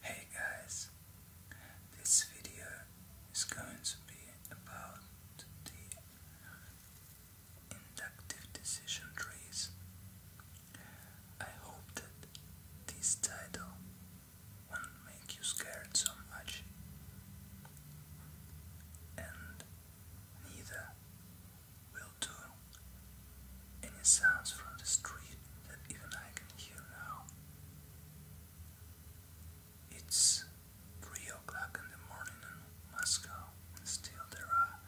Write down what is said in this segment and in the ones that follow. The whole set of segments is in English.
Hey guys, this video is going to be about the inductive decision trees. I hope that this title won't make you scared so much, and neither will do. Any sounds from the street that even I can hear now. It's 3 o'clock in the morning in Moscow, and still there are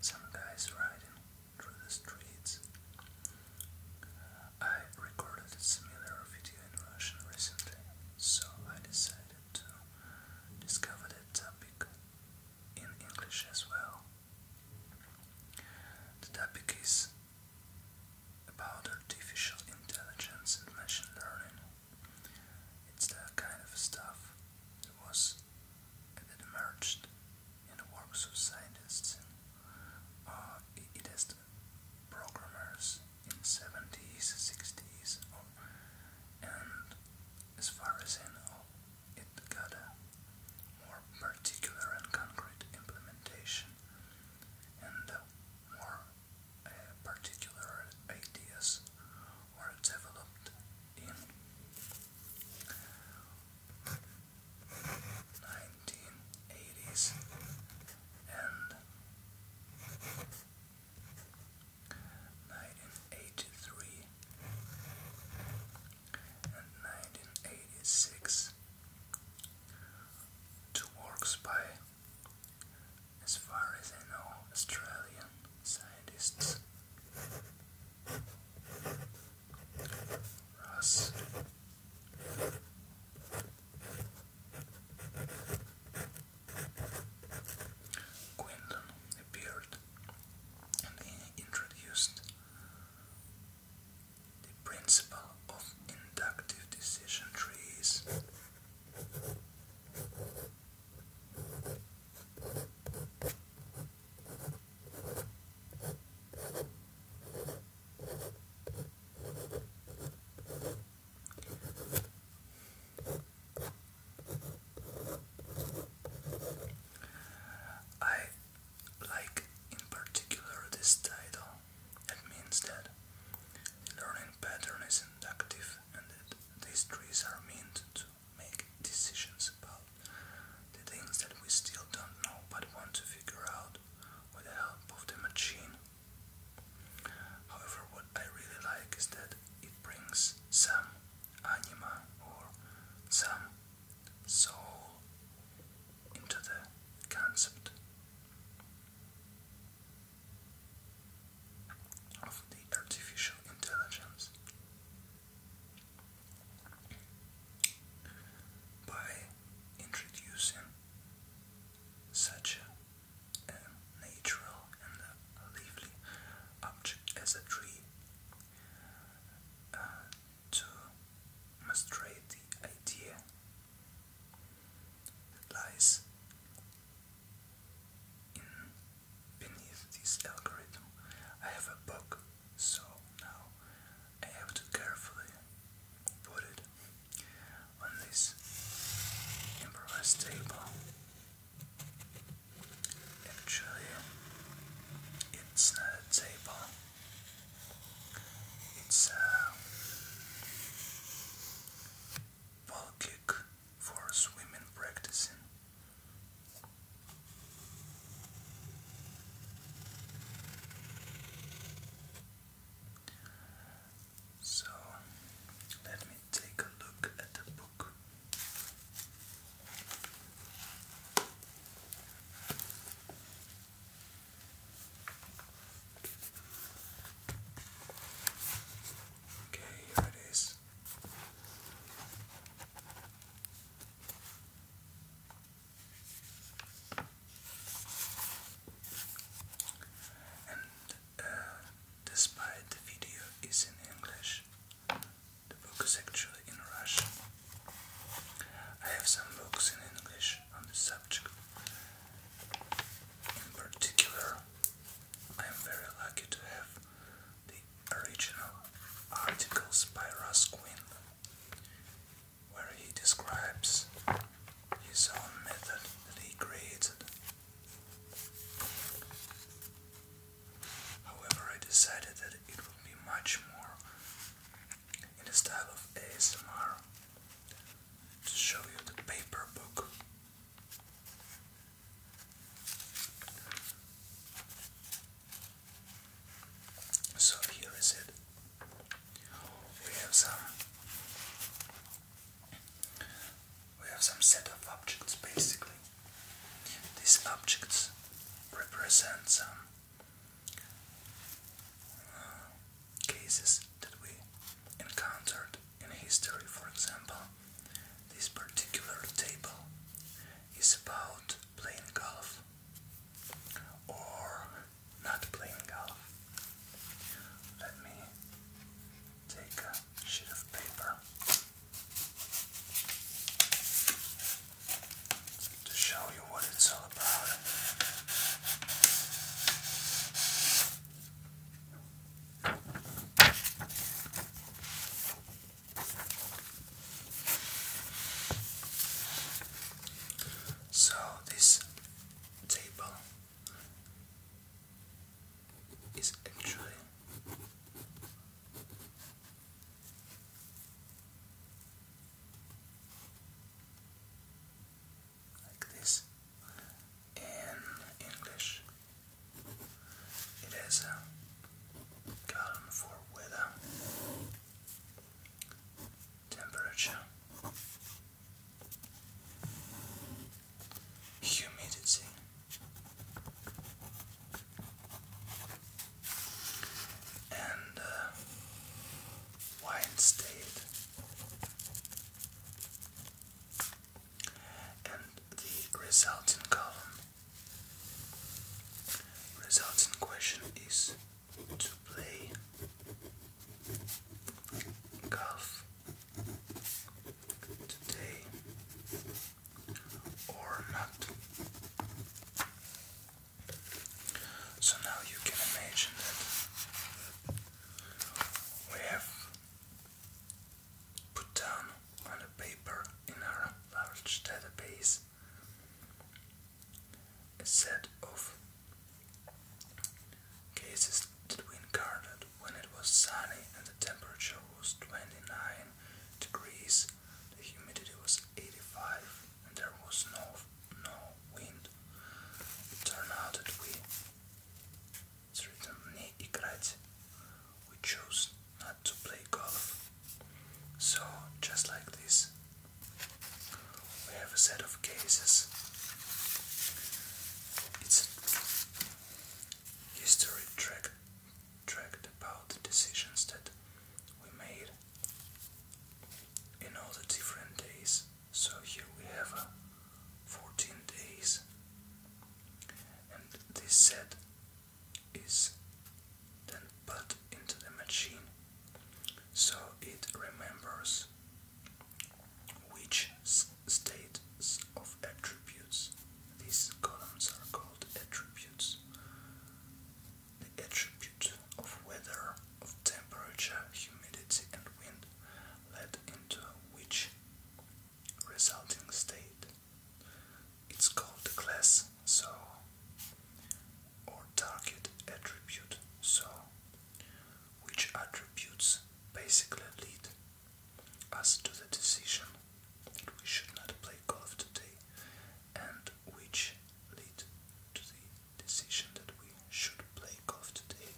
some guys riding through the streets. Uh, I recorded a similar video in Russian recently, so I decided to discover that topic in English as well. The topic is about artificial intelligence and machine learning. It's that kind of stuff that was emerged in the works of scientists and uh, it has programmers in 70s, 60s, and as far as I know, it got a more particular and concrete implementation and more uh, particular ideas were developed in 1980s and 1983 and 1986. Two works by, as far as I know, Australian scientists Russ Quinlan appeared and introduced the principle of inductive decision trees. I like in particular this title. It means that the learning pattern is inductive and that these trees are meant to make decisions about the things that we still don't know but want to figure out with the help of the machine. However, what I really like is that it brings some anima or some soul into the concept of the artificial intelligence by introducing such a, natural and lively object as a tree to masturbate the idea that lies in beneath this algorithm. I have a book, so now I have to carefully put it on this improvised table Actually, um, it's not uh, a table. It's a uh, ball for swimming practicing. So let me take a look at the book. Okay, here it is. And uh, despite the video is in English, the book is actually in Russian. I have some books in English on the subject. In particular, I am very lucky to have the original articles by Russ Quinn, where he describes his own method that he created. However, I decided that it would be much more in the style of ASMR to show you the paper book. So here is it. We have some we have some set of objects basically. These objects represent some cases that we encountered in history, for example, this particular table is about playing golf or not playing golf. Let me take a sheet of paper to show you what it's all about. So, this table is actually like this in English. It has a column for weather, temperature, humidity, and uh, Weinstein. And the resulting column. Resulting question is to play golf today or not. So now you can imagine that we have put down on a paper in our large database a set of cases that we encountered when it was sunny and the temperature was 29 degrees the humidity was 85 and there was no no wind. It turned out that we it's written не играть. We chose not to play golf. So just like this we have a set of cases. It's a history track tracked about the decisions that we made in all the different days. So here we have uh, 14 days, and this set is then put into the machine so it remembers which states of attributes these columns are called attributes the attribute of weather, of temperature, humidity and wind led into which resulting state. It's called the class, so, or target attribute, so, which attributes basically lead us to the decision that we should not play golf today and which lead to the decision that we should play golf today.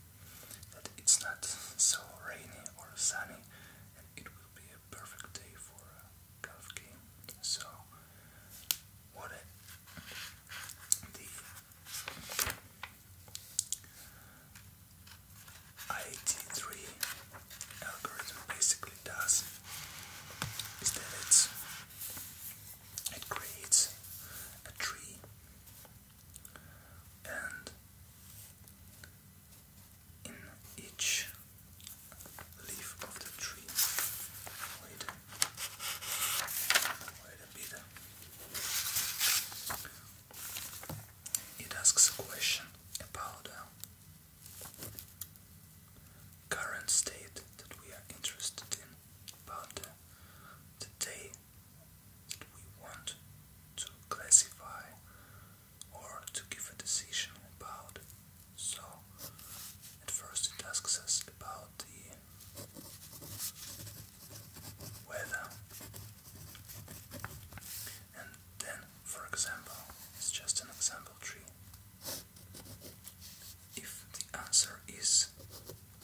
That it's not so rainy or sunny, and it will be a perfect day for a golf game. So, what the IT3 algorithm basically basically does is that it creates a tree and in each leaf of the tree wait wait a bit it asks a question about uh, current state that we are interested in, but uh, the day that we want to classify or to give a decision about. So, at first it asks us about the weather, and then, for example, it's just an example tree. If the answer is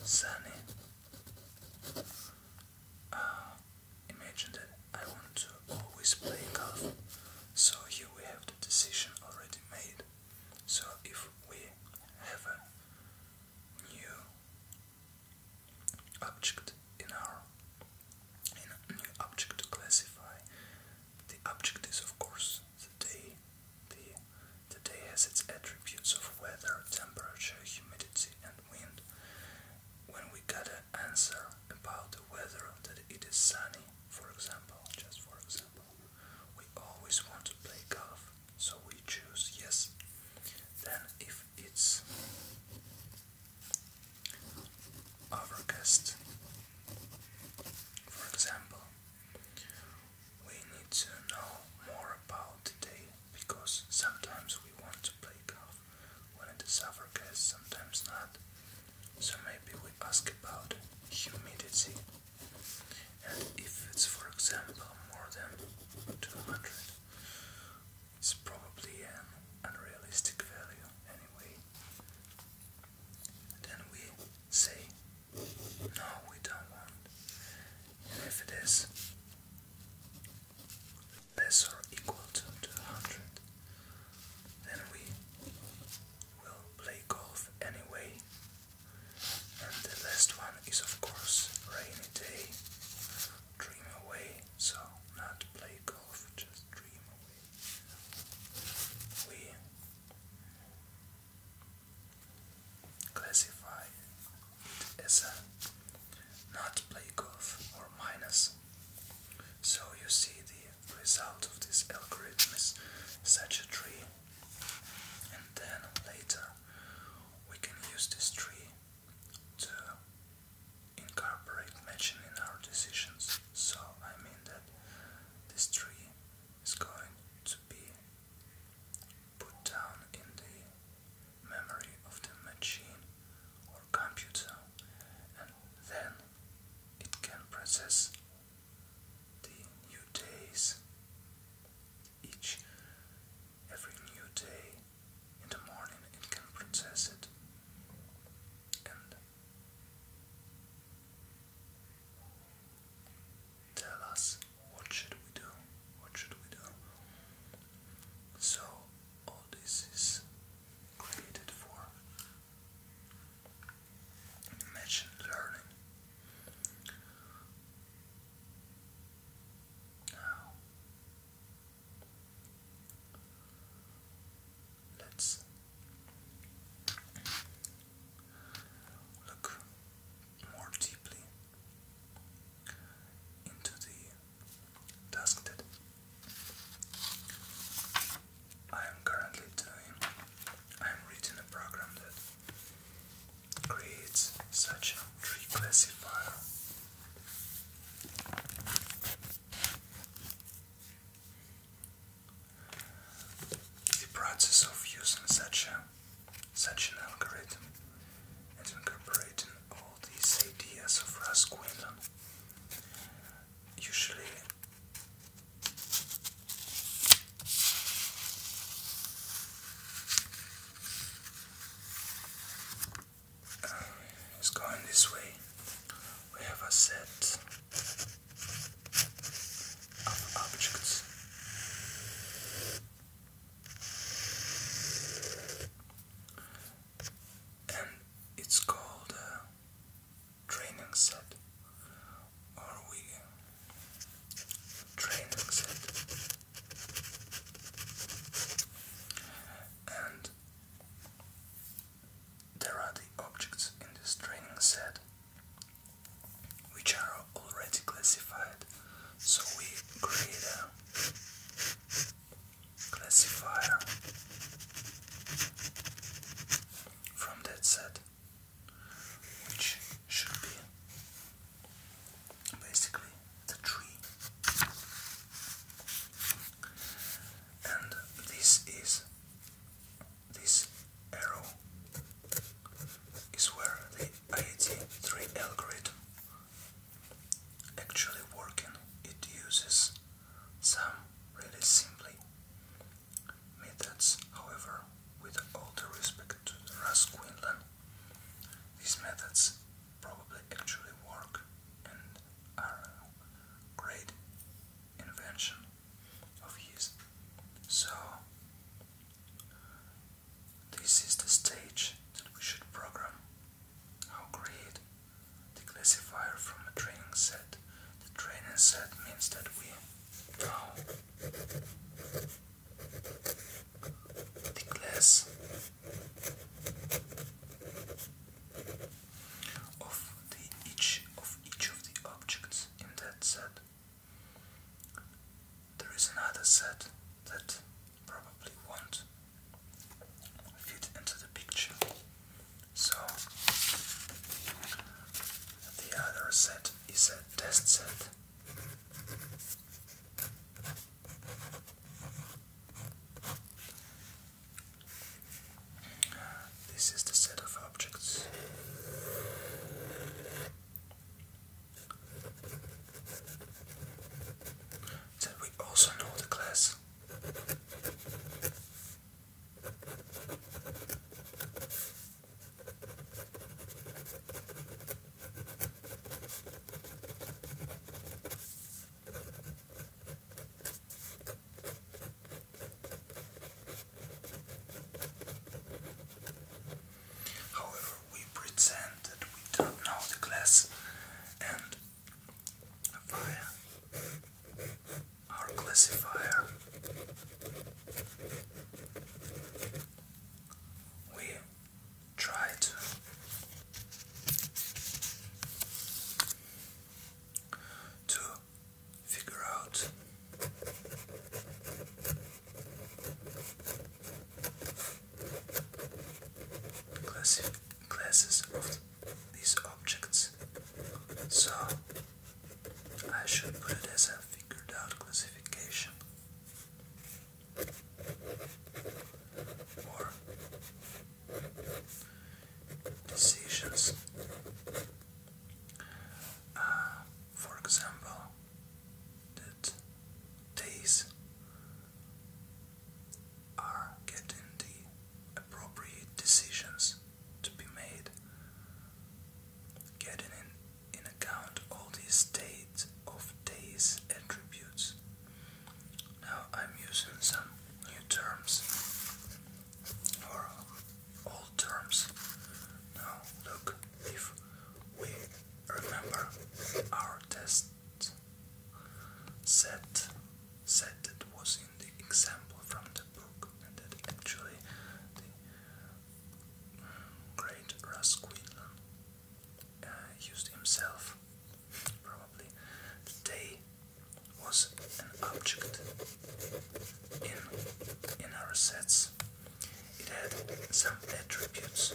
sunny, uh, imagine that I want to always play golf. So here we have the decision already made. So if we have a new object in our in a new object to classify, the object is of course the day, the, the day has its attributes of weather, temperature, humidity, and wind. When we get an answer about the weather that it is sunny, for example, just for example, we always want to play golf, so we choose yes. Then, if it's overcast, for example, we need to know more about today because sometimes we want to play golf when it is guys. sometimes not. So maybe we ask about humidity and if it's for example more than 200 it's probably an unrealistic value anyway. Then we say no we don't want and if it is less or equal to hundred, then we will play golf anyway and the last one is of course rainy day dream away so not play golf just dream away we classified as a not play golf or minus. So you see the result of this algorithm is such a tree and then later we can use this tree to incorporate matching in our decisions. So I mean that this tree is going to be put down in the memory of the machine or computer and then it can process the new days each every new day in the morning it can process it Tell us what should we do? What should we do? So all this is created for machine learning. Now let's Look more deeply into the task that I am currently doing. I am reading a program that creates such a tree classifier. The process of using such a such an algorithm and incorporating all these ideas of Rasquindon usually is going this way. We have a set of objects. And it's called a training set, or we training set. And there are the objects in this training set which are already classified. So we create a classifier from that set, which should be basically the tree. And this is this arrow is where the IET3 algorithm actually working. It uses some really simply methods, however, with all the respect to Russ Quinlan, these methods probably actually work and are great invention of his. So, this is the stage that we should program how create the classifier from a training set. The training set means that we now the class of the each of each of the objects in that set. There is another set that probably won't fit into the picture. So, the other set is a test set. This is the set of objects. That we also know the class. However, we pretend that we don't know the class and via our classifier we try to figure out Classi classes of these objects. So I should put it as a figured out classification or decisions uh, for example, that these are getting the appropriate decisions to be made, getting in, in account all the state of these attributes. Now I'm using some new terms all terms. Now look if we remember our test set said that was in the example from the book and that actually the great Rasquillan uh, used himself probably the day was an object in, in our sets. It had some attributes.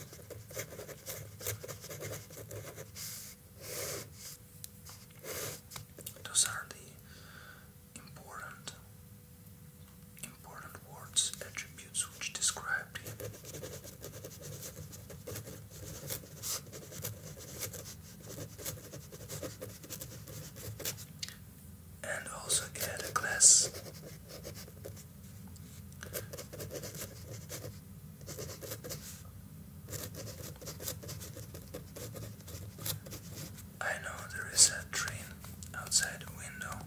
Those are the important important words, attributes which described him and also get a glass I know there is a train outside the window.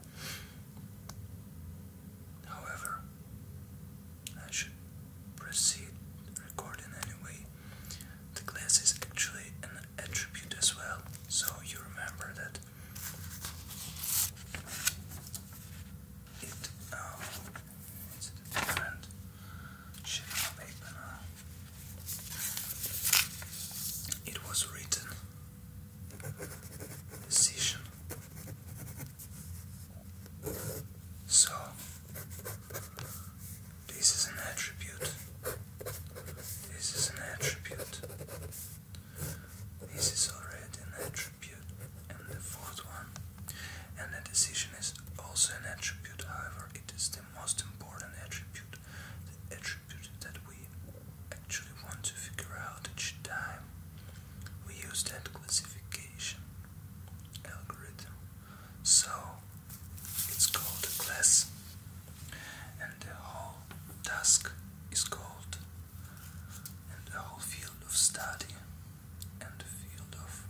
However, I should proceed recording anyway. The glass is actually an attribute as well, so you remember that it um, It was written decision. So, this is an attribute this is an attribute. This is already an attribute. And the fourth one. And the decision is also an attribute, however, it is the most important attribute. The attribute that we actually want to figure out each time we use that classification algorithm. So it's called a class and the whole task is called and the whole field of study and the field of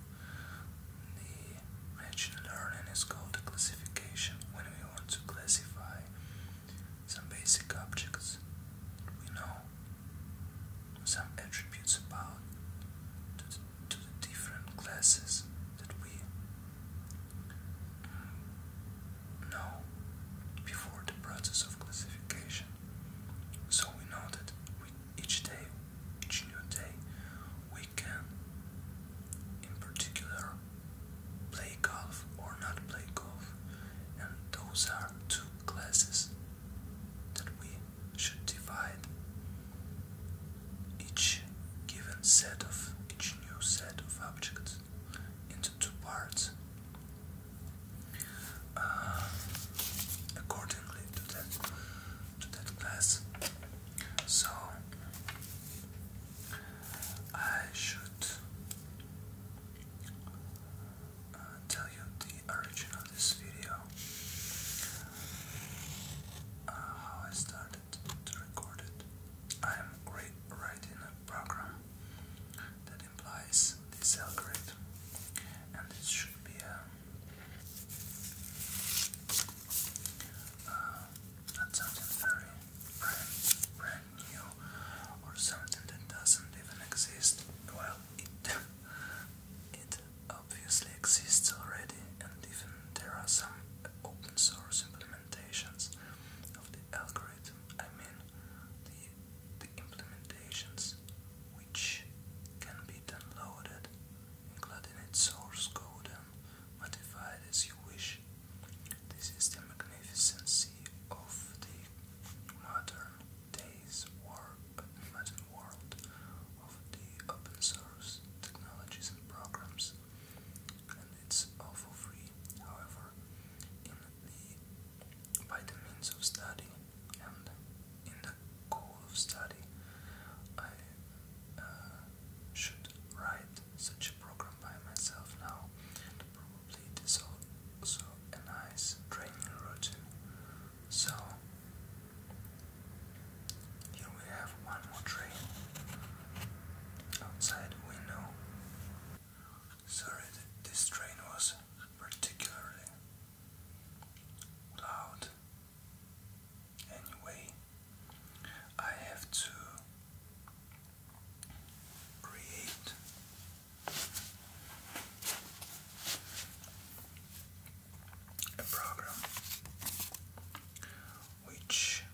machine learning is called classification when we want to classify some basic objects we know some attributes about to the different classes that we no, before the process of classification. So we know that each day, each new day, we can, in particular, play golf or not play golf. And those are two classes that we should divide each given set of each new set of objects into two parts uh, accordingly to that to that class. So I should uh, tell you the origin of this video, uh, how I started to record it. I'm writing a program that implies this algorithm, and this should be a, uh, uh, not something very brand, brand new or something that doesn't even exist. Well, it it obviously exists already, and even there are some open source implementations implementations of the algorithm, I mean the, implementations which can be downloaded, including its source code modified as you wish. This is the magnificency of the modern days world of the open source technologies and programs and it's all for free. However, in the by the means of study and in the goal of study, I uh, should write such a program by myself now. And probably it is also a nice training routine. So here we have one more train outside window. Sorry, that this train was particularly loud. Anyway, I have to create a program which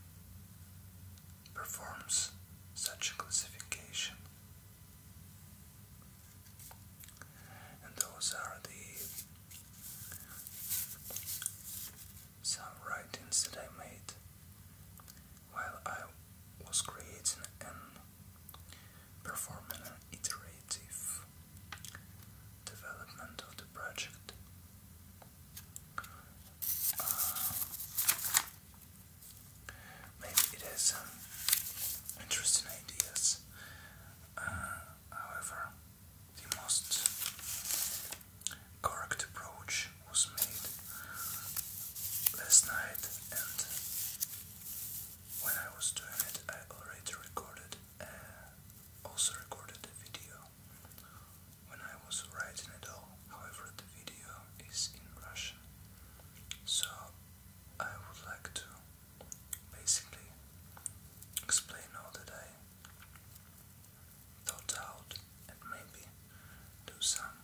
performs such a classification. And those are the some writings that I made while I was creating and performing an iterative development of the project. Uh, maybe it has some um, interesting ideas. Uh, however, the most correct approach was made last night, and when I was doing it, I already recorded, uh, also recorded a video when I was writing it all. However, the video is in Russian, so I would like to basically explain all that I thought out and maybe do some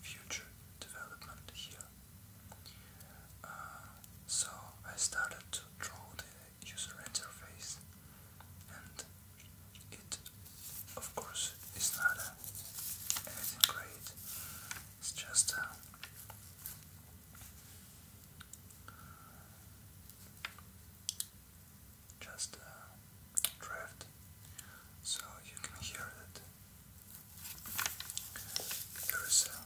future development here. Uh, so I started to draw the user interface and it, of course, is not anything great. It's just uh, just uh, draft, so you can hear that there is a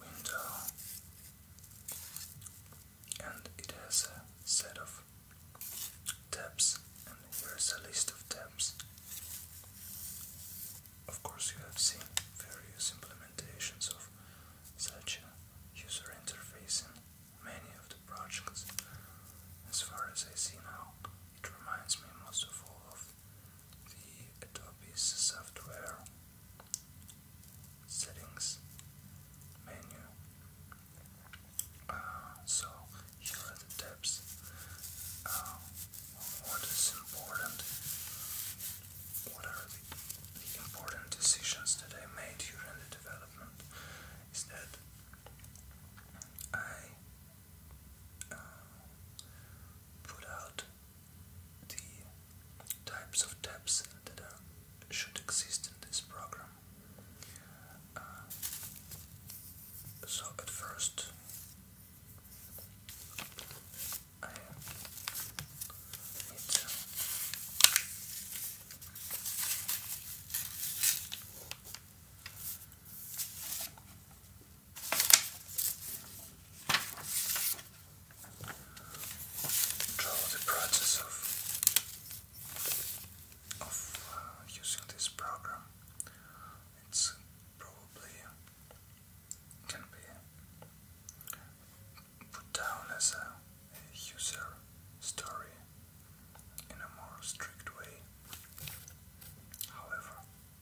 window and it has a set of tabs and here's a list of tabs. Of course you have seen various implementations of such a user interface in many of the projects. As far as I see now, it reminds me most of all of the Adobe's software settings menu uh, so here are the tips. Um, what is important? What are the, important decisions that I made during the development? Is that I uh, put out the types of tabs that should exist in this program. Uh, so at first, I draw the process of of uh, using this program. It's probably uh, can be uh, put down as a user story in a more strict way. However,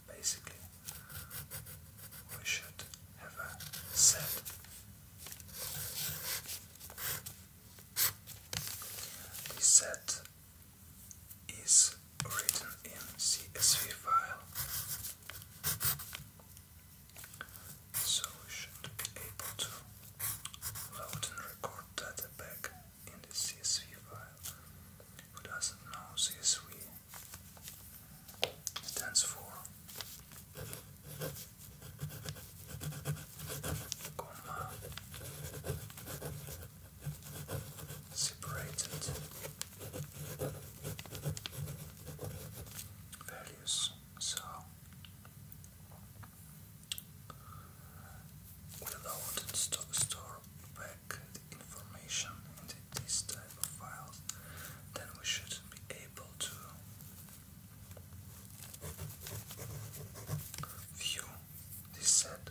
basically, we should have a set the set is written in CSV file, so we should be able to load and record data back in the CSV file. Who doesn't know CSV stands for? comma separated values so we allowed back information in these type of files then we should be able to View this set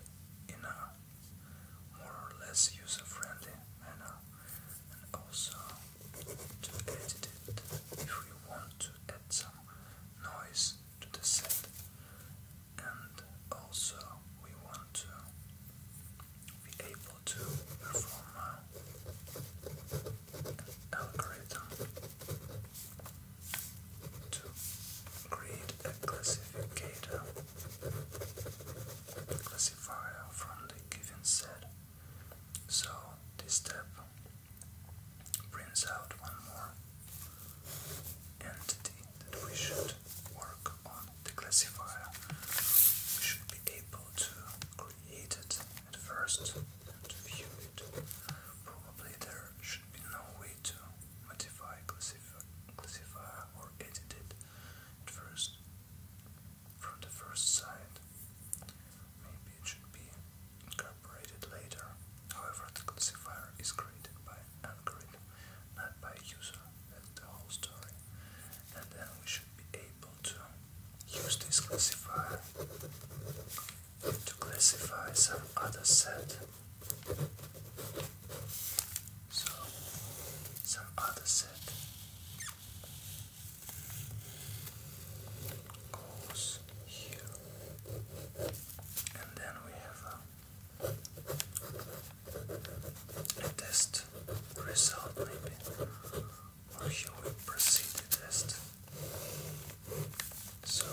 in a more or less user-friendly manner and also to edit it if we want to add some noise to the set and also we want to be able to perform algorithm to create a classifier from the given set. So this step prints out one more entity that we should work on the classifier. We should be able to create it at first to view it. Probably there should be no way to modify, classify, or edit it at first, from the first sight. Maybe it should be incorporated later. However, the classifier is created by algorithm, not by user. That's the whole story. And then we should be able to use this classifier to classify some other set. So, some other set goes here, and then we have a, test result, maybe, or here we proceed test. So,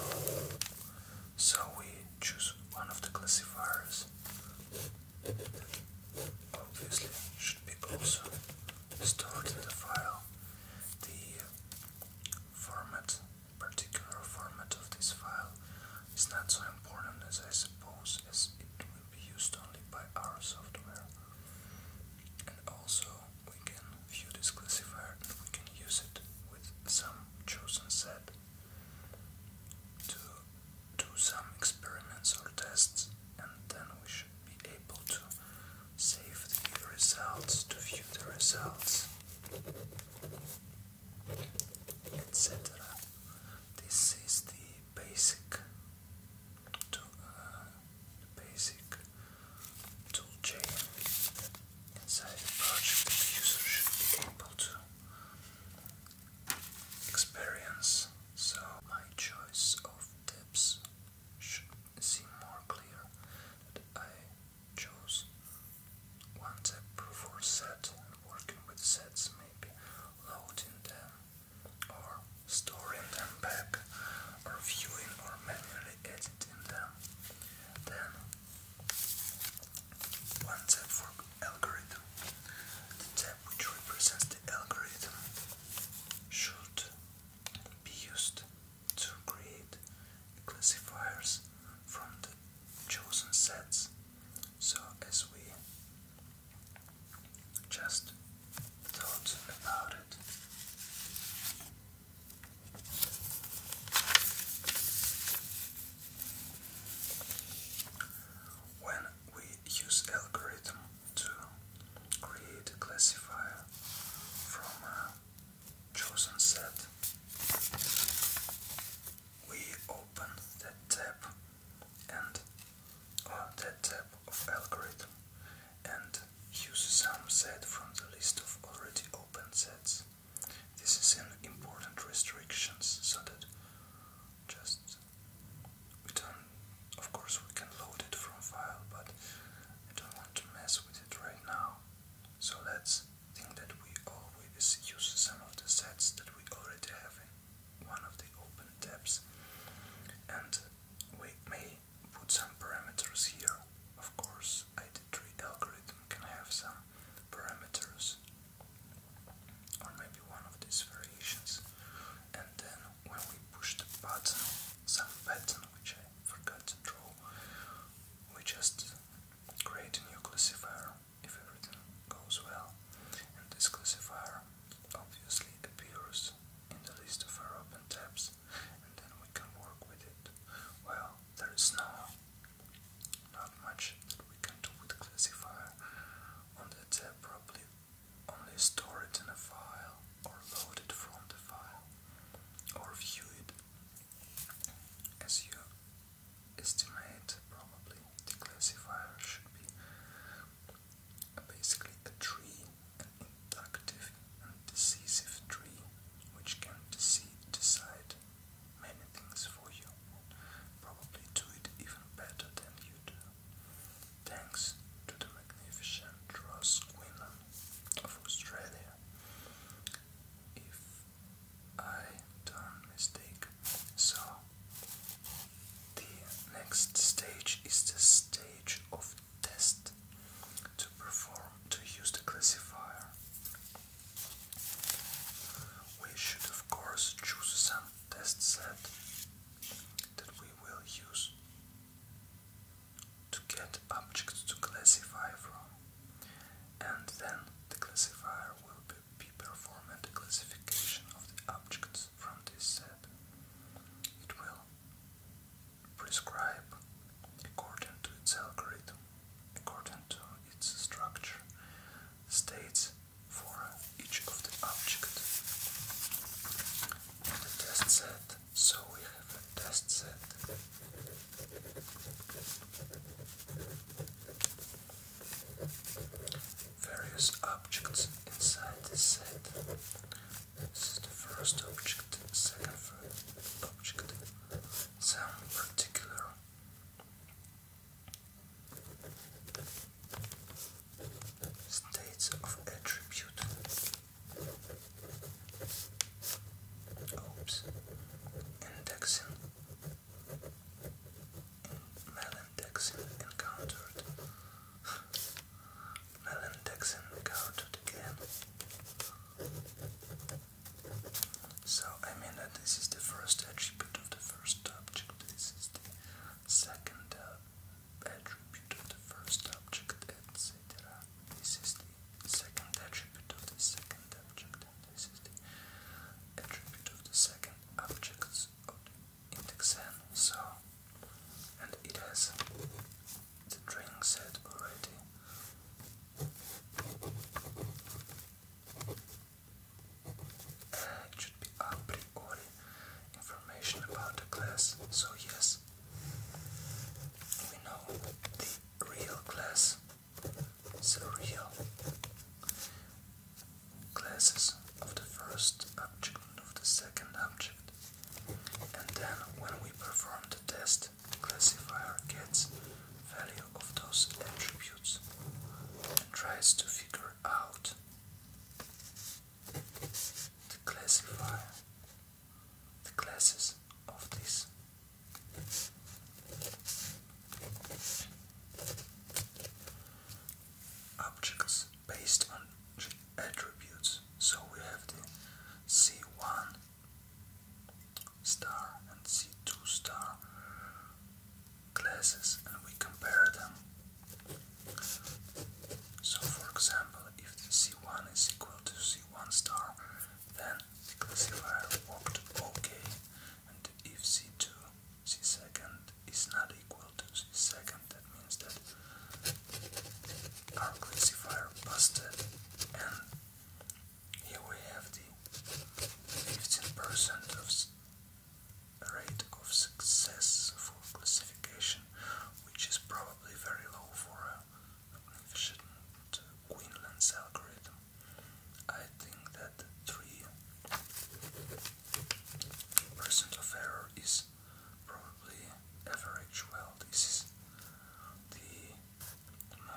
so we choose one of the classifiers. Obviously, should be also stored in the file. The format, particular format of this file, is not so important as I suppose, as it will be used only by our software. And also, we can view this classifier and we can use it with some chosen set to do some experiments or tests and then we should be able to save the results, to view the results, etc. This is the basic, to, uh, basic tool inside the project the user should be able to experience. So my choice of tips should seem more clear that I chose one tip for set and working with sets maybe loading them or storing them back or viewing or manually editing them then one tab for algorithm. The tab which represents the algorithm should be used to create classifiers from the chosen sets so as we just thought about it when we use algorithm to create classifier from chosen set, we open that tab and uh, that tab of algorithm and use some set from the list of already open sets. This is an important restriction, so that just we don't of course we can load it from file but I don't want to mess with it right now. So let's think that we always use some of the sets that we already have in one of the open tabs and we may put some parameters here. Of course, ID3 algorithm can have some parameters or maybe one of these variations. And then when we push the button, some pattern which I forgot to draw, we just create a new classifier if everything goes well. And this classifier obviously appears in the list of our open tabs and then we can work with it. Well, there is no, not much that we can do with classifier on the tab, probably only store it in a file or load it from the file or view it as you estimate probably the classifier should be basically a tree inductive and decisive tree, which can deceive, decide many things for you. Probably do it even better than you do. Thanks to the magnificent Ross Quinlan of Australia. If I don't mistake. So the next stage is the stage of test to perform to use the classifier. We should of course choose some test set that we will use to get objects to classify from and then the classifier will be, be performing the classification of the objects from this set. It will prescribe according to its algorithm, according to its structure, states for each of the objects. And the test set, so we have a test set. Various objects inside this set. This is the first object, second object, some particular. States of attributes. Oops. Indexing. In encountered. malindexing encountered again. So I mean that this is the first attribute of the first object, this is the second uh, attribute of the first object, etc. This is the second attribute of the second object, and this is the attribute of the second objects of the index n. So, and it has the drink set already. Uh, it should be a priori information about the class, so yes, we know the real class, the real classes of the first object of the second object. And then when we perform the test, best classifier gets value of those attributes and tries to figure out the classifier, the classes of these. Objects based on attributes. So we have the C1 star and C2 star classes and we compare them. So for example, if the C1 is equal to C1 star, then the classifier worked OK. And if C2, C second is not equal to C second, that means that our classifier busted here we have the 15% of rate of success for classification, which is probably very low for a magnificent Quinlan's algorithm. I think that 3% of error is probably average. Well, this is the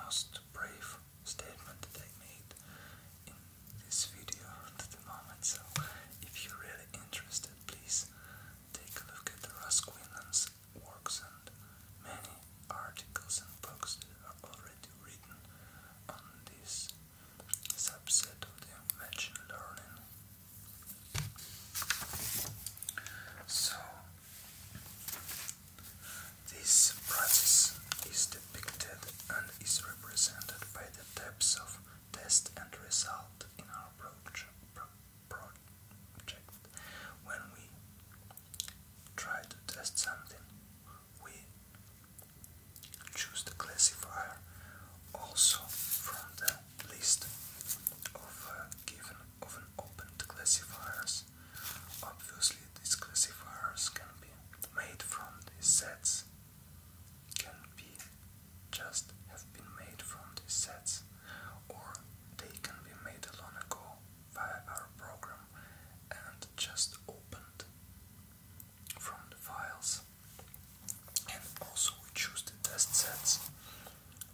most brave statement that made in this video to the moment. So, if you're really interested, please take a look at Rosquillan's works and many articles and books that are already written on this subset of the machine learning. So, this process is depicted and is represented by the types of test and result in our proje project. When we try to test something, we choose the classifier also from the list of uh, given of an opened classifiers Obviously, these classifiers can be made from these sets, can be just have been made from these sets, or they can be made long ago via our program and just opened from the files. And also, we choose the test sets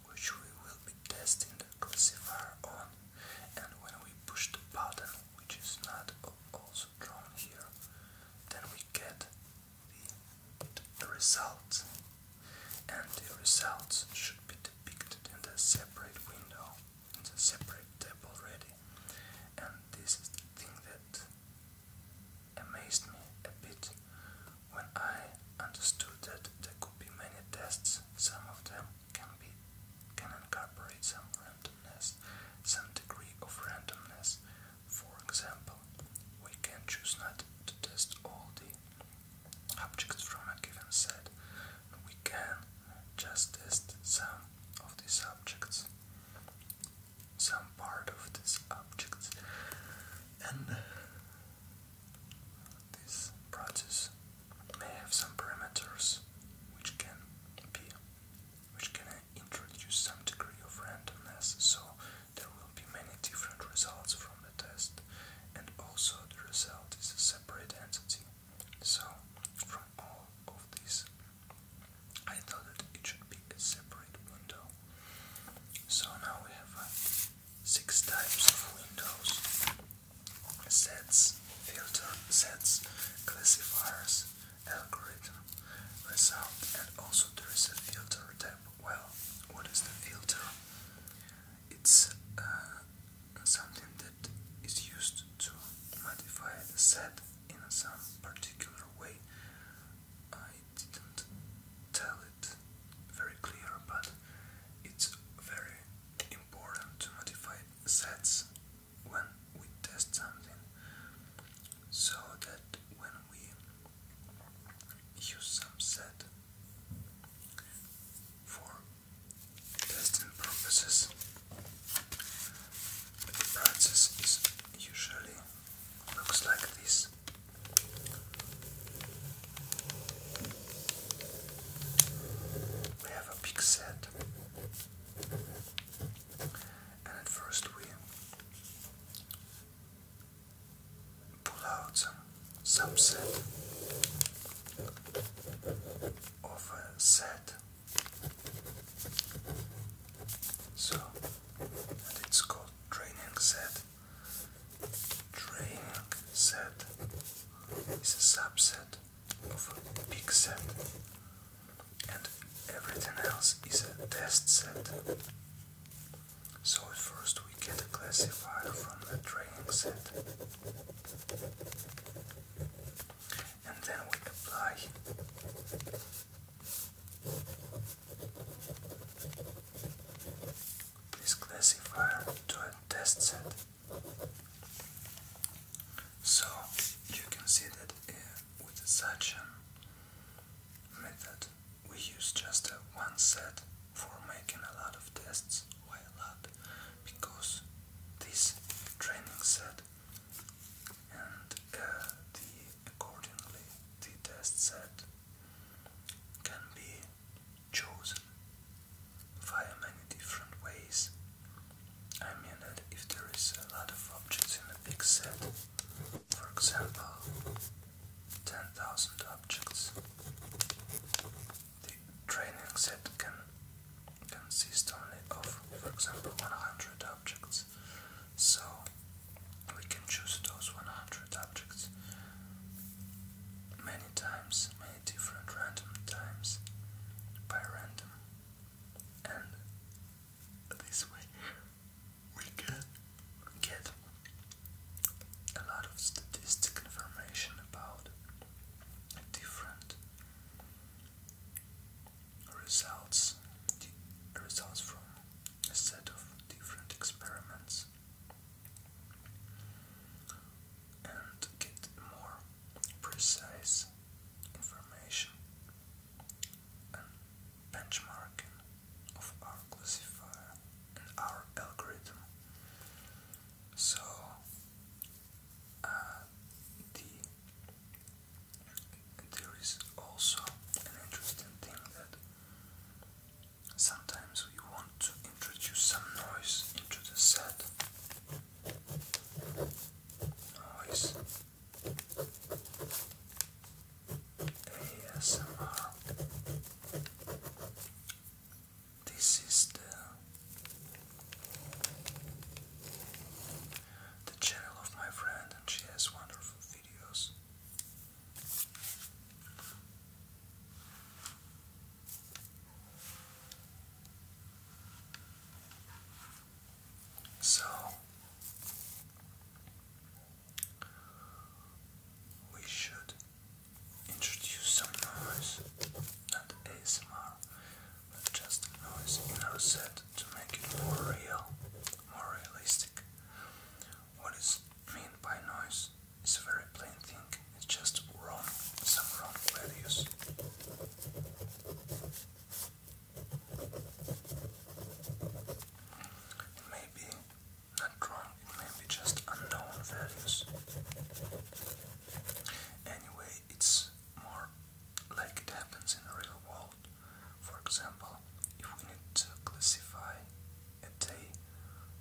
which we will be testing the classifier on and when we push the button which is not also drawn here then we get the result and the results should be depicted in a separate window in a separate tab already and this is the thing that amazed me a bit when I understood that there could be many tests some of them can be can incorporate some randomness, some degree of randomness. For example, we can choose not to test all the objects from a given set. We can just test some of these objects, some part of these objects, and this process may have some parameters which can be which can introduce some degree of randomness, so there will be many different results from the test, and also the result is a separate entity. So, from all of this, I thought that it should be a separate window. So now we have uh, six types of windows sets, filter sets, classifiers, algorithm, result, and also there is a filter tab. Well, what is the filter? It's uh, something that is used to modify the set in some particular way. I didn't tell it very clear, but it's very important to modify sets when we test something so that when we use some set for testing purposes the process is usually looks like this we have a big set, and at first we pull out some subset of a set. So, and it's called training set. Training set is a subset of a big set, and everything else is a test set. So first we get a classifier from the training set, and then we apply. This classifier to a test set. So you can see that uh, with such suction method we use just uh, one set for making a lot of tests. Why a lot? Because this training set and uh, the accordingly the test set can be chosen via many different ways. I mean that if there is a lot of objects in a big set, for example, 10,000 objects, the training set can consist only of, for example, 100 objects. So we can choose those 100 objects many times, different random times by random, and this way we can get a lot of statistic information about different results results from a set of different experiments and get more precise information and benchmarking of our classifier and our algorithm. So uh, there is also an interesting thing that sometimes we want to introduce some noise into the set Noise. ASMR. This is the the channel of my friend and she has wonderful videos. So we should introduce some noise, not ASMR, but just noise in our set to make it more real, more realistic. What is meant by noise is a very plain thing. It's just wrong, some wrong values. It not wrong, it just unknown values. Anyway, it's more like it happens in the real world. For example, if we need to classify a day,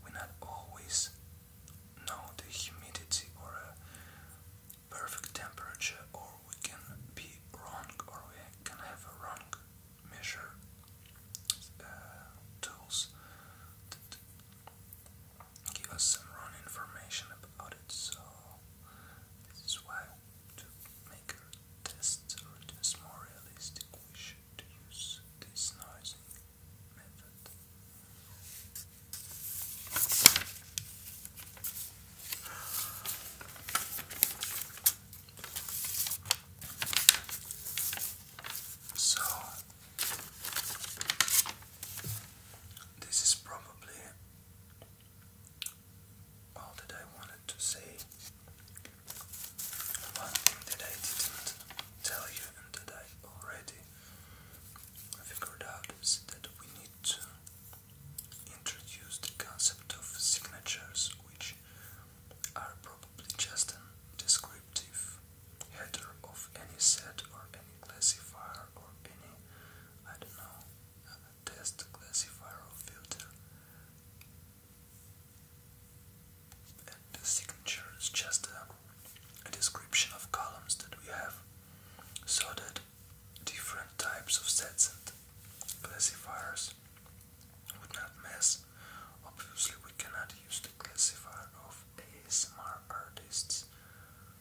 we are not always no, the humidity or a perfect temperature, or we can be wrong, or we can have a wrong measure uh, tools give us some wrong information about it. So this is why to make a more realistic, we should use this noise so, this is probably all that I wanted to say. One that I didn't tell you and that I already figured out is that we need to introduce the concept of signatures, which are probably just a descriptive header of any set or any classifier or any, I don't know, test classifier or filter. And the signature is just a description of columns that we have so that different types of sets and classifiers would not mess. Obviously, we cannot use the classifier of ASMR artists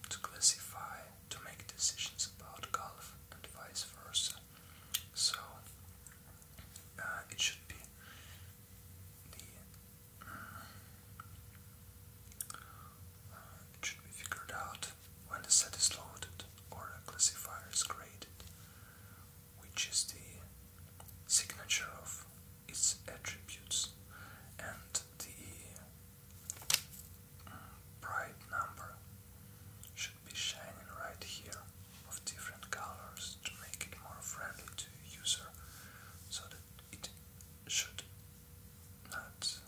to classify, to make decisions about golf and vice versa. So, uh, it should be the should be figured out when the set is loaded or a classifier is created, which is the signature of its attributes and the mm, bright number should be shining right here of different colors to make it more friendly to user so that it should nuts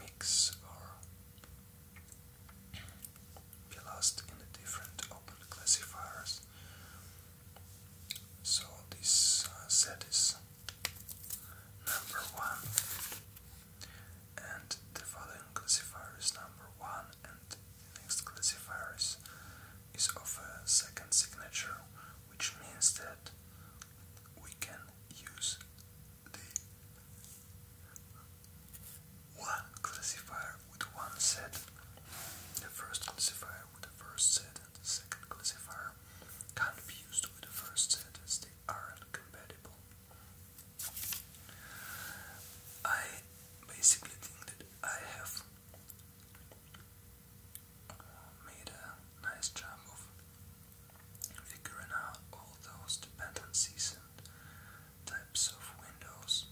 mix or be lost in the different open classifiers. So this uh, set is number one, and the following classifier is number one, and next classifiers is of a second signature, which means that we can use the one classifier with one set, the first classifier with the first set, and second classifier can't be used with the first set as they aren't I basically think that I have made a nice job of figuring out all those dependencies and types of windows.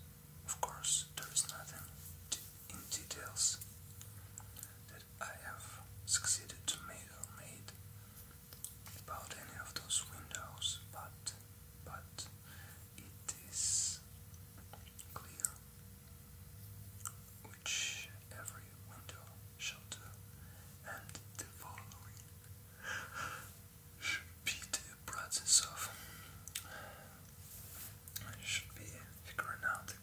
Of course, there is nothing in details that I have succeeded to make or made about any of those windows, but but it is clear which every window shall and the following should be the process of should be figuring out the,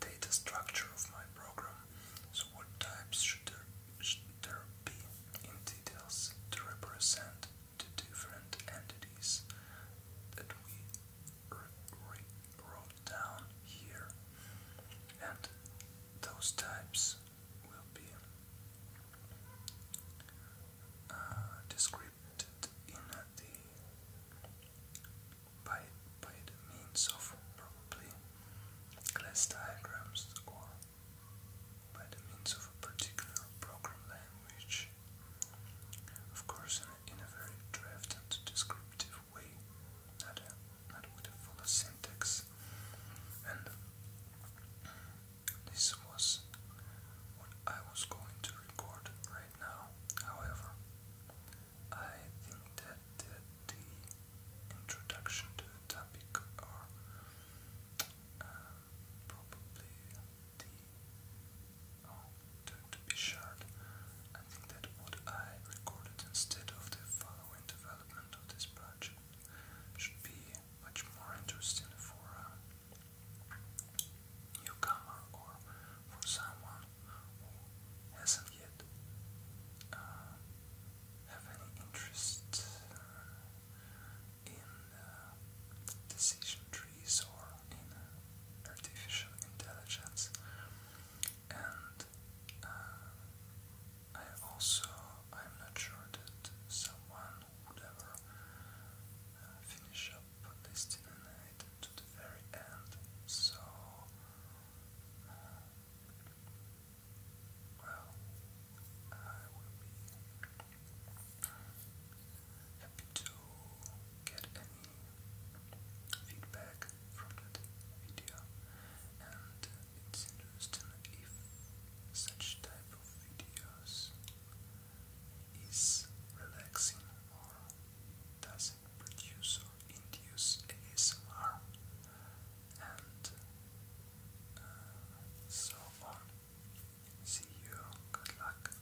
data structure of my program. So what types should there should there be in details to represent the different entities that we re wrote down here, and those types will be uh, described in the by by the means of probably class diagrams or by the means of a particular program language. Of course, in a, very draft descriptive way, not, a, not syntax. And this was what I was going to record right now. However, I think that the, introduction to the topic or uh, probably the oh, to be shared. I think that what I recorded instead of the following development of this project should be much more interesting for a newcomer or for someone who hasn't yet uh, have any interest uh, in uh, decision trees or in artificial intelligence. And uh, I also, I'm not sure that someone would ever uh, finish up this dinner night to the very end, so, uh, well, I will be happy to get any feedback from that video, and it's interesting if such type of videos is relaxing or does it produce or induce ASMR and uh, so on. See you, good luck.